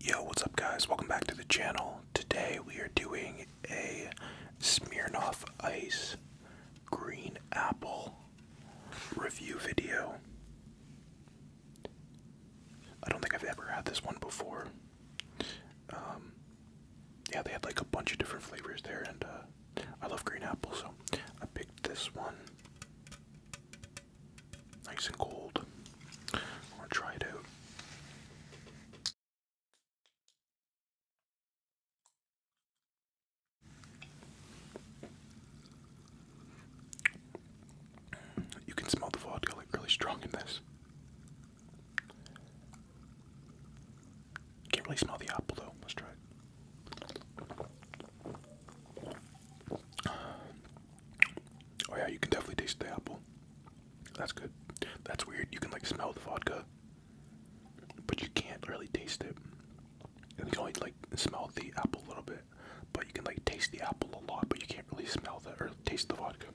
Yo, what's up guys? Welcome back to the channel. Today we are doing a Smirnoff Ice Green Apple review video. I don't think I've ever had this one before. Um, yeah, they had like a bunch of different flavors there and uh, I love green apple so I picked this one. Nice and cold. I want try it out. You can smell the vodka like really strong in this. Can't really smell the apple though. Let's try it. Oh yeah, you can definitely taste the apple. That's good. That's weird. You can like smell the vodka, but you can't really taste it. you can only like smell the apple a little bit, but you can like taste the apple a lot, but you can't really smell the or taste the vodka.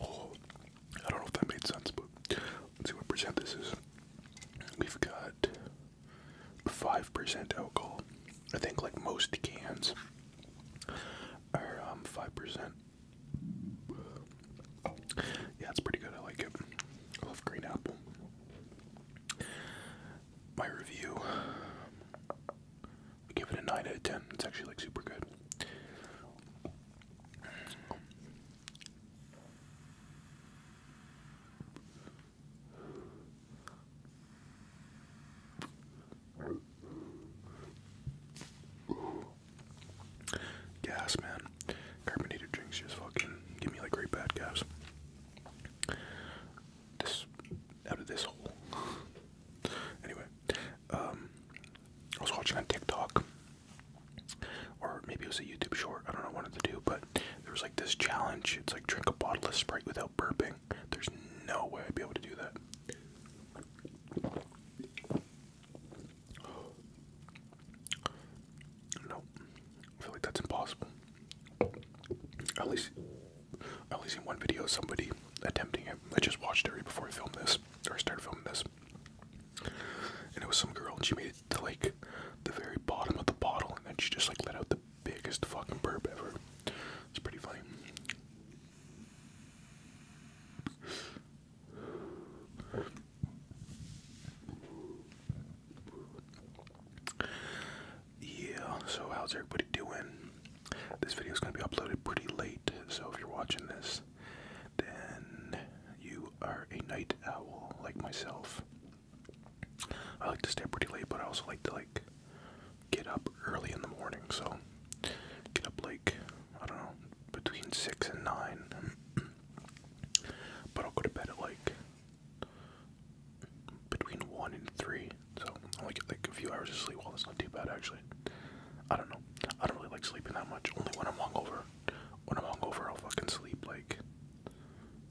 Oh, I don't know if that made sense, but let's see what percent this We've got 5% alcohol. I think like most cans are 5%. Um, yeah, it's pretty good. I like it. I love green apple. My review, I give it a 9 out of 10. It's actually like super good. Gas, man. Carbonated drinks just fucking give me like great bad gas. This out of this hole. anyway, um, I was watching on TikTok or maybe it was a YouTube short, I don't know, one of to do, but there was like this challenge. It's like drink a bottle of Sprite without burping. There's no way I'd be able to do that. No, I feel like that's impossible. At least, at least in one video, somebody attempting it. I just watched it right before I filmed this, or I started filming this, and it was some girl, and she made it to like the very bottom of the bottle, and then she just like let out the biggest fucking burp ever. It's pretty funny. Yeah, so how's everybody doing? This video is going to be uploaded pretty late, so if you're watching this, then you are a night owl like myself. I like to stay pretty late, but I also like to like get up early in the morning. So get up like I don't know between six and nine, but I'll go to bed at like between one and three. So I only get like a few hours of sleep. Well, that's not too bad actually. I don't know. I don't really like sleeping that much. Only when I'm hungover. When I'm hungover, I'll fucking sleep like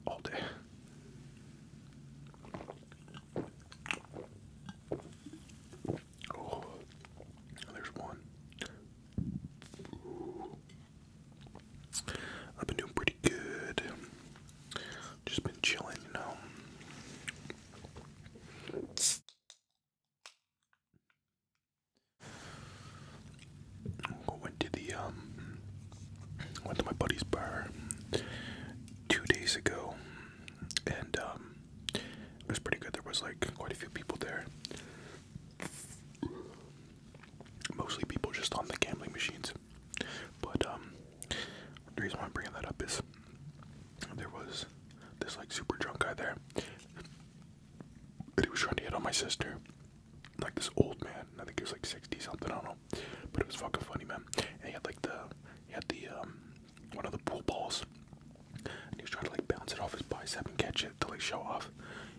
all day. Oh, there's one. I've been doing pretty good. Just been chilling, you know. Went to the um, went to my buddy's bar two days ago, and um, it was pretty good. There was like quite a few people there, mostly people just on the gambling machines. But um, the reason why I'm bringing that up is there was this like super drunk guy there, and he was trying to hit on my sister like this old man. I think he was like sixty something. I don't know, but it was fucking funny, man. And he had like the he had the um one of the pool balls, and he was trying to like bounce it off his bicep and catch it to like show off.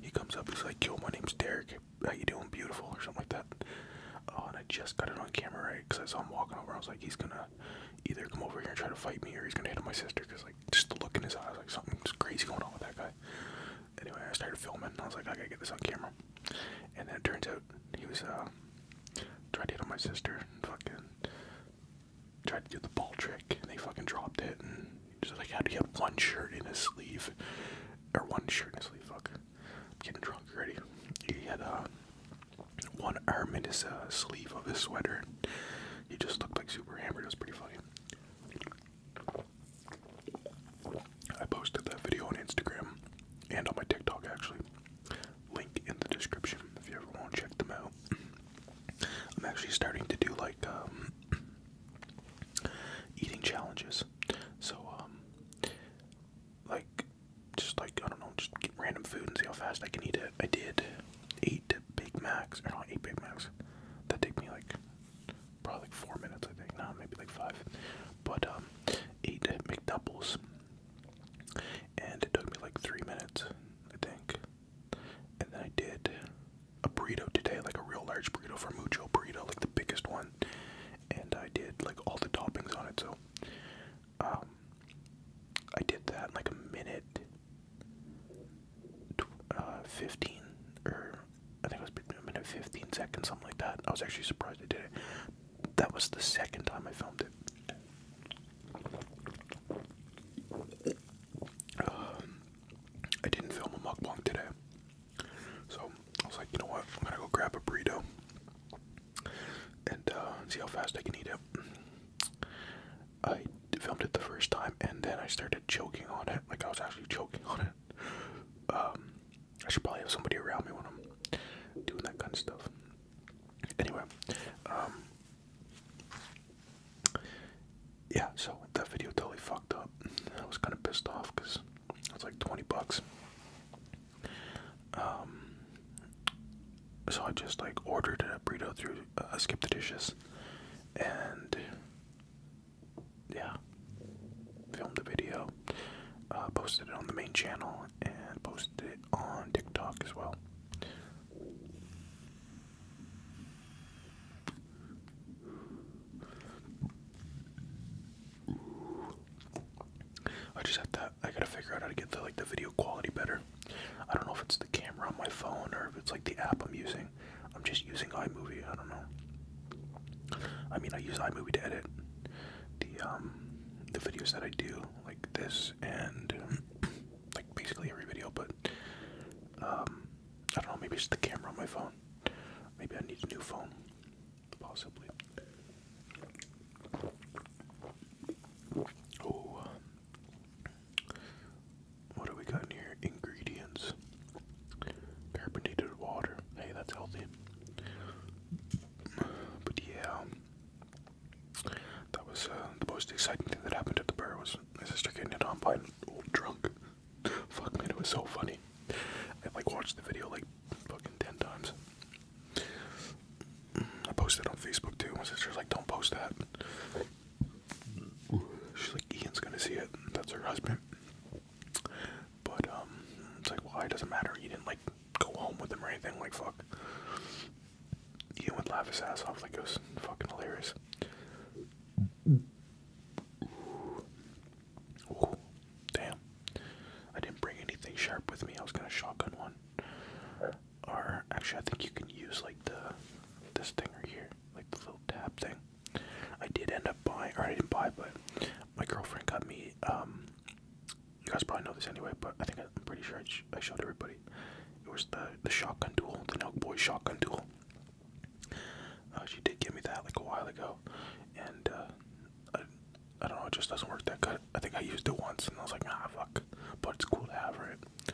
He comes up, he's like, "Yo, my name's Derek. How you doing, beautiful?" or something like that. Oh, and I just got it on camera, right? Because I saw him walking over. I was like, he's gonna either come over here and try to fight me, or he's gonna hit on my sister. Cause like, just the look in his eyes, like something's crazy going on with that guy. Anyway, I started filming. I was like, I gotta get this on camera. And then it turns out he was uh, trying to hit on my sister and fucking tried to do the ball trick. And they fucking dropped it. And just like, how do you have one shirt in his sleeve? Or one shirt in his sleeve? Fuck. getting drunk already. He had uh, one arm in his uh, sleeve of his sweater. He just looked like super hammered. It was pretty funny. I posted that video on Instagram and on my TikTok actually. Link in the description if you ever want to check them out. I'm actually starting to do like um, eating challenges. So, um, like, just like, I don't know, just get random food and see how fast I can eat it. I did eight Big Macs, or not eight Big Macs. That took me like probably four minutes, I think. Now maybe like five, but um, eight McDoubles, and it took me like three minutes, I think. And then I did a burrito today, like a real large burrito for Mucho burrito, like the biggest one. And I did like all the toppings on it, so um, I did that in like a minute uh, 15 or I think it was a minute 15 seconds, something like that. I was actually surprised I did it. That was the second time I filmed it. Um, I didn't film a mukbang today. So I was like, you know what? I'm gonna go grab a burrito and uh, see how fast I can eat it. I filmed it the first time and then I started choking on it. Like I was actually choking on it. Um, I should probably have somebody around me when I'm doing that kind of stuff. Anyway, um, yeah, so that video totally fucked up. I was kind of pissed off because it was like 20 bucks. Um, so I just like ordered a burrito through uh, I skipped the Dishes and yeah, filmed the video, uh, posted it on the main channel, and posted it on TikTok as well. I just have to. I gotta figure out how to get the like the video quality better. I don't know if it's the camera on my phone or if it's like the app I'm using. I'm just using iMovie. I don't know. I mean, I use iMovie to edit the um, the videos that I do, like this and like basically every video. But um, I don't know. Maybe it's the camera on my phone. Maybe I need a new phone, possibly. Oh, what do we got here? Ingredients. Carbonated water. Hey, that's healthy. But yeah, that was uh, the most exciting thing that happened at the bar was my sister getting hit on by an old drunk. Fuck man, it was so funny. I like watched the video like fucking ten times. I posted on Facebook too. My sister's like, "Don't post that." She's like, Ian's gonna see it. That's her husband. But um, it's like, why? doesn't matter. You didn't like go home with him or anything. Like, fuck. Ian would laugh his ass off. Like, it was fucking hilarious. damn. I didn't bring anything sharp with me. I was gonna shotgun one are actually I think you can use like the this thing right here, like the little tab thing. I did end up buying, or I didn't buy, but my girlfriend got me. Um, you guys probably know this anyway, but I think I, am pretty sure I, showed everybody. It was the the shotgun duel, the Nelk Boy shotgun duel. Uh, she did give me that like a while ago, and uh, I, I don't know, it just doesn't work that good. I think I used it once, and I was like, ah, fuck. But it's cool to have, it.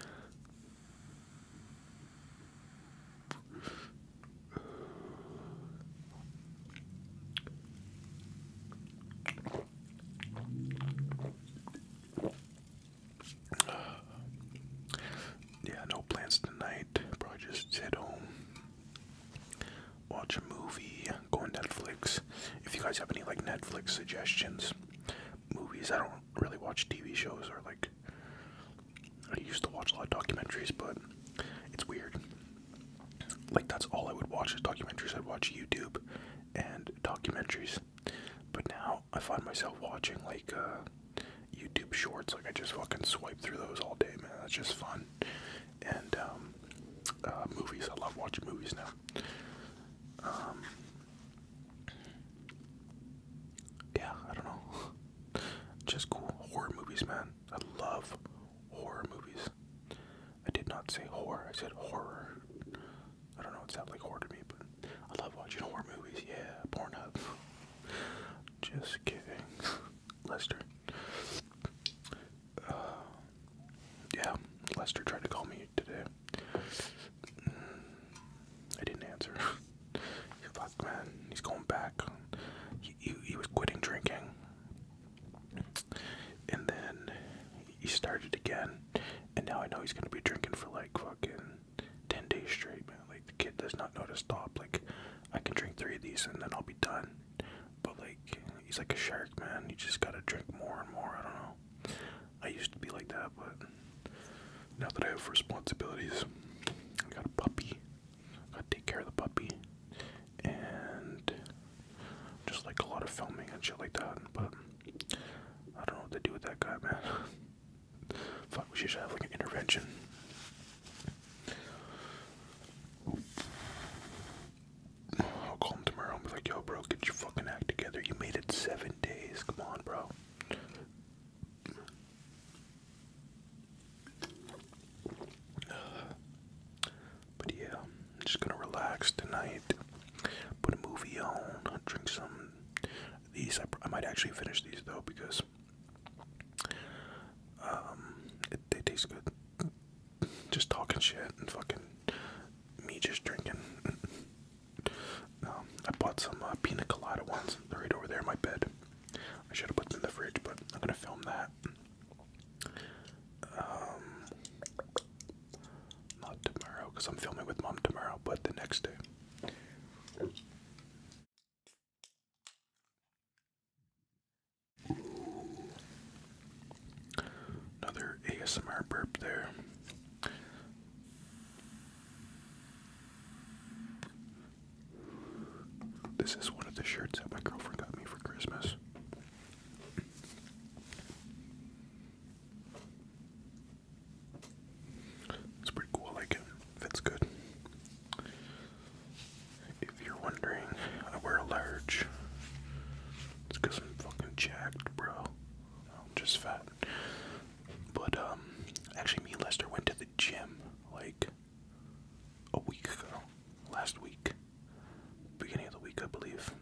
Yeah, no plans tonight. Probably just sit home, watch a movie, go on Netflix. If you guys have any like Netflix suggestions, movies I don't really watch TV shows or like. I used to watch a lot of documentaries, but it's weird. Like that's all I would watch is documentaries. I'd watch YouTube and documentaries, but now I find myself watching like uh, YouTube Shorts. Like I just fucking swipe through those all day, man. That's just fun. And um, uh, movies. I love watching movies now. Um, yeah, I don't know. Just cool horror movies, man. I love horror movies. I did not say horror. I said horror. I don't know. It sounded like horror to me, but I love watching horror movies. Yeah, Pornhub. Just kidding, Lester. Uh, yeah, Lester tried to call me today. Mm, I didn't answer. Fuck, man, he's going back. He, he, was quitting drinking. And then he started again. And now I know he's gonna be drinking for like fucking 10 days straight, man. Like, the kid does not know to stop. Like, I can drink three of these and then I'll be done. But, like, he's like a shark, man. He just gotta drink more and more. I don't know. I used to be like that, but now that I have responsibilities, I got a puppy. I gotta take care of the puppy. And just like a lot of filming and shit like that, but I don't know what to do with that guy, man. Fuck, we should have like an intervention. I'll call him tomorrow I'll be like, yo, bro, get your fucking act together. You made it seven days. Come on, bro. But yeah, I'm just gonna relax tonight. Put a movie on. drink some. These I, might actually finish these though because um, they taste good just talking shit and fucking me just drinking. Um, I bought some uh, pina colada ones. They're right over there in my bed. I should have put them in the fridge, but I'm gonna film that. Um, not tomorrow, because I'm filming with mom tomorrow, but the next day. Another ASMR burp there. This is one of the shirts that my girlfriend got me for Christmas. It's pretty cool, like it. Fits good. If you're wondering, I wear a large. It's I'm fucking jacked, bro. I'm just fat. But, um, actually, me and Lester went to the gym like a week ago. Last week. Beginning of the week, I believe.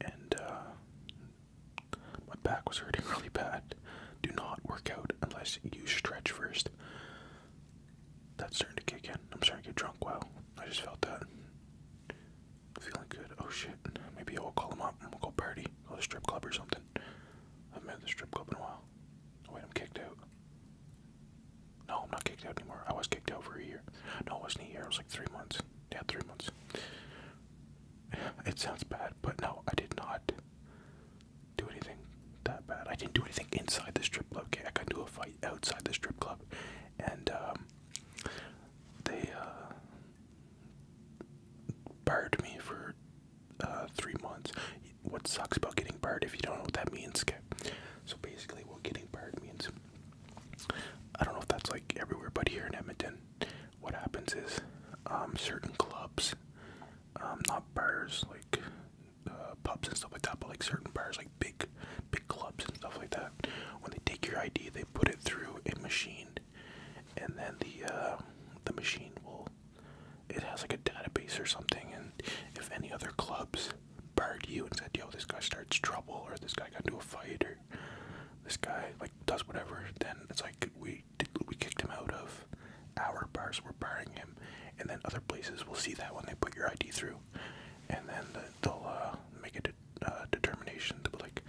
And, uh, my back was hurting really bad. Do not work out unless you stretch first that's starting to kick in. I'm starting to get drunk. Well, I just felt that. Feeling good. Oh shit. Maybe I will call him up and we'll go party. Go to strip club or something. I have been at the strip club in a while. wait, I'm kicked out. No, I'm not kicked out anymore. I was kicked out for a year. No, it wasn't a year. It was like three months. Yeah, three months. It sounds bad, but no, I did not do anything that bad. I didn't do anything inside the strip club. Okay, I got into a fight outside the strip club, and um, they uh, barred me for uh, three months. What sucks about getting barred, if you don't know what that means, okay? So basically, what getting barred means, I don't know if that's like everywhere, but here in Edmonton, what happens is um, certain clubs, um, not bars like uh, pubs and stuff like that, but like certain bars, like big, big clubs and stuff like that, when they take your ID, they put it through a machine, and then the uh, the machine will, it has like a database or something, and if any other clubs barred you and said, yo, this guy starts trouble, or this guy got into a fight, or this guy like does whatever, then it's like we we kicked him out of our bars. We're barring him, and then other places will see that when they put your ID through, and then they'll uh, make a uh, determination to be like,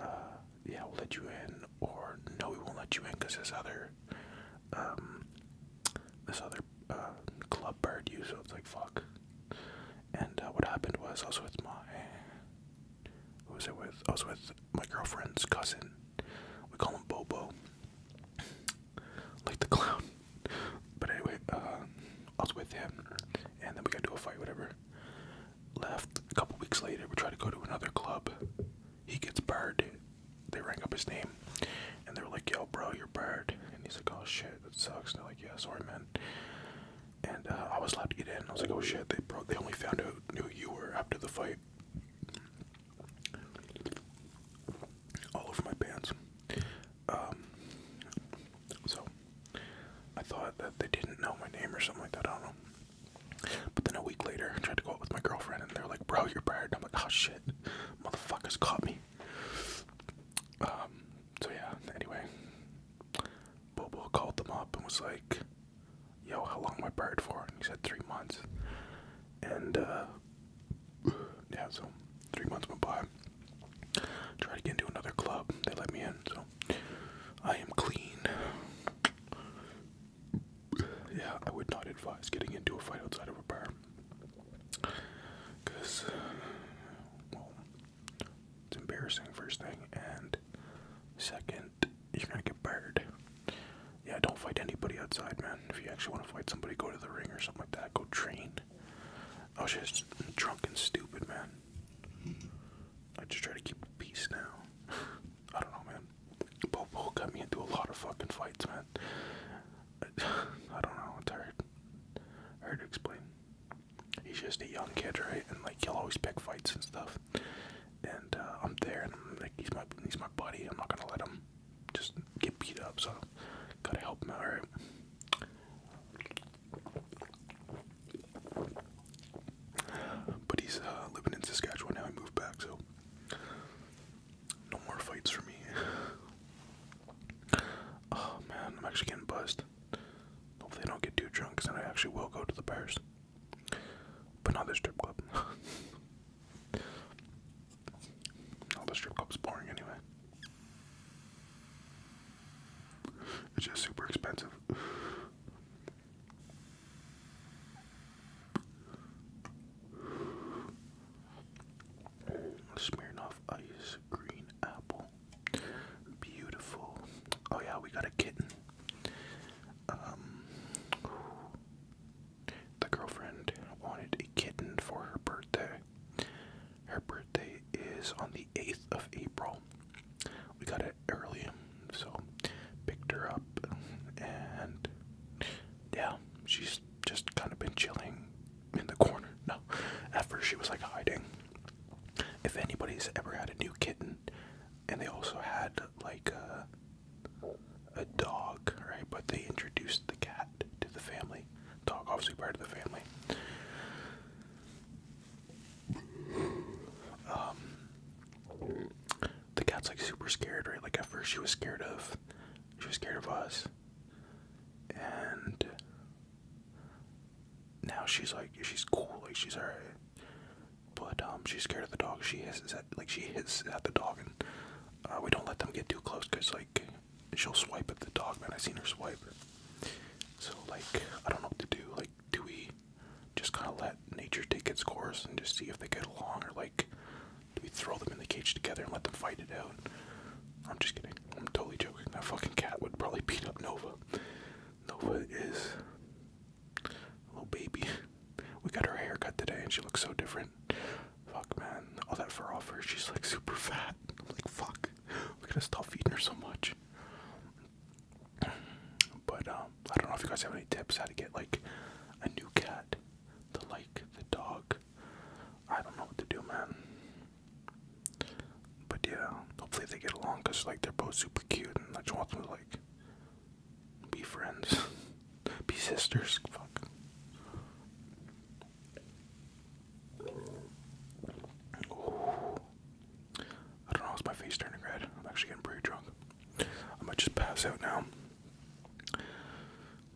uh, yeah, we'll let you in, or no, we won't let you in because this other, um, this other club bird you. So it's like fuck. And what happened was I was with my, who was it with? I was with my girlfriend's cousin. We call him Bobo like the clown. But anyway, uh, I was with him, and then we got to a fight, whatever. Left a couple weeks later. We try to go to another club. He gets barred. They rang up his name, and they were like, "Yo, bro, you're barred." And he's like, "Oh shit, that sucks." And they're like, "Yeah, sorry, man." And uh, I was allowed to get in. I was like, "Oh shit!" They They only found out who you were after the fight all over my pants. Um, so I thought that they didn't know my name or something like that. I don't know. But then a week later, I tried to go out with my girlfriend, and they're like, "Bro, you're fired." I'm like, "Oh shit, motherfuckers caught me." Um, so yeah. Anyway, Bobo called them up and was like, "Yo, how long am I barred for?" And he said three months. And uh, yeah, so three months went by. Tried to another club. They let me in, so I am clean. Yeah, I would not advise getting into a fight outside of a bar. Because, well, it's embarrassing, first thing, and second, you're gonna get burned. Yeah, don't fight anybody outside, man. If you actually want to fight somebody, go to the ring or something like that. Go train. I was just drunk and stupid, man. I just try to keep peace now. I don't know, man. Bobo got me into a lot of fucking fights, man. I don't know. It's hard. Hard to explain. He's just a young kid, right? And like he'll always pick fights and stuff. And uh, I'm there, and like, he's my he's my buddy. I'm not gonna let him just get beat up, so gotta help him out, right? But he's uh, living in Saskatchewan now. I moved back, so no more fights for me. oh man, I'm actually getting buzzed. Hopefully, I don't get too drunk, because then I actually will go to the bars. But not this strip club. All oh, the strip club's boring anyway. It's just super expensive. Smirnoff Ice Green Apple. Beautiful. Oh yeah, we got a kitten. Um the girlfriend wanted a kitten for her birthday. Her birthday is on the 8th of April. We got it early, so picked her up, and yeah, she's just kind of been chilling in the corner. No, at first she was like hiding. If anybody's ever had a new kitten, and they also had like a uh, a dog, right? But they introduced the cat to the family. Dog, obviously, part of the family. Um, the cat's like super scared, right? Like at first, she was scared of, she was scared of us, and now she's like, she's cool, like she's alright. But um, she's scared of the dog. She has like she hits at the dog, and uh, we don't let them get too close because like she'll swipe at the dog. Man, I seen her swipe. So like I don't know what to do. Like do we just kind of let nature take its course and just see if they get along, or like do we throw them in the cage together and let them fight it out? I'm just kidding. I'm totally joking. That fucking cat would probably beat up Nova. Nova is a little baby. We got her hair cut today and she looks so different. Fuck, man. All that fur off her, she's like super fat. I'm like, fuck. We gotta stop feeding her so much. But, um, I don't know if you guys have any tips how to get like a new cat to like the dog. I don't know what to do, man. But yeah, hopefully they get along because like they're both super cute and I just want them to like be friends, be sisters. Fuck. I don't know, it's my face turning red. I'm actually getting pretty drunk. I might just pass out now.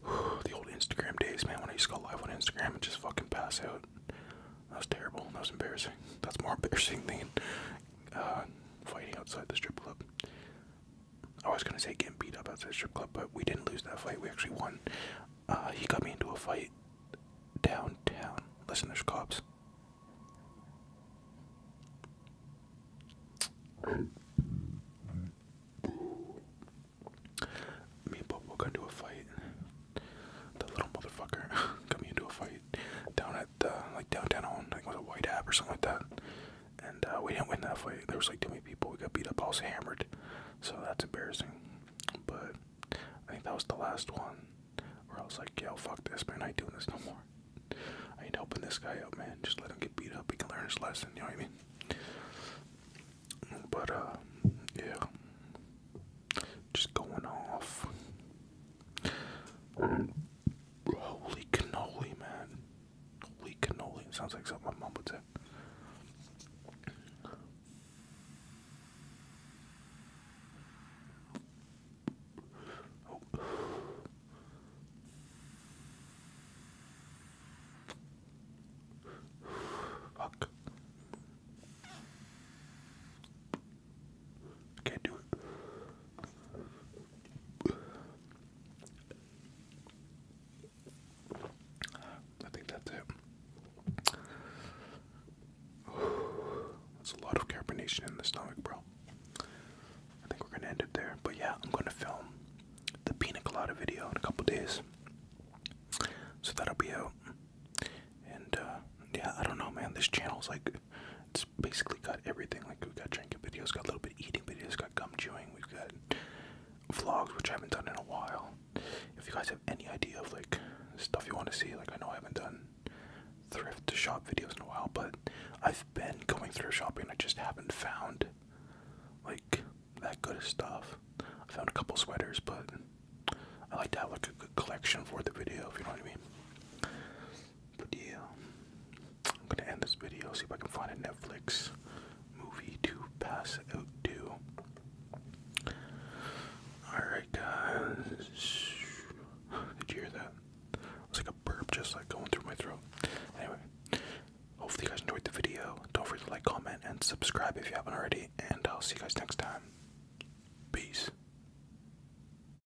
the old Instagram days, man, when I used to go live on Instagram and just fucking pass out. That was terrible. That was embarrassing. That's more embarrassing than uh, fighting outside the strip club. I was gonna say getting beat up outside the strip club, but we didn't lose that fight. We actually won. Uh, he got me into a fight downtown. Listen, there's cops. Me and Bobo got into a fight. The little motherfucker got me into a fight down at the, like downtown. I like it a White App or something like that and uh, we didn't win that fight. There was like too many people. We got beat up, I was hammered. So that's embarrassing. But I think that was the last one where I was like, "Yo, fuck this, man! I ain't doing this no more. I ain't helping this guy out, man. Just let him get beat up. He can learn his lesson. You know what I mean?" But uh, yeah, just going off. Holy cannoli, man. Holy cannoli. sounds like something my mom would say. Oh. Fuck. can't do it. I think that's it. There's a lot of carbonation in the stomach, bro. I think we're gonna end it there. But yeah, I'm gonna film the peanut colada video in a couple days. So that'll be out. And uh, yeah, I don't know man, this channel is like it's basically got everything. Like we've got drinking videos, got a little bit eating videos, got gum chewing. We've got vlogs, which I haven't done in a while. If you guys have any idea of like stuff you want to see, like I know I haven't done thrift shop videos in a while, but I've been going through shopping. I just haven't found like that good stuff. I found a couple sweaters, but I like to have like a good collection for the video. If you know what I mean. But I'm gonna end this video. See if I can find a Netflix movie to pass out to. Alright, guys. Did you hear that? It was like a burp just like going through my throat. Anyway, hopefully, you guys enjoyed the video. Don't forget to like, comment, and subscribe if you haven't already. And I'll see you guys next time. Peace.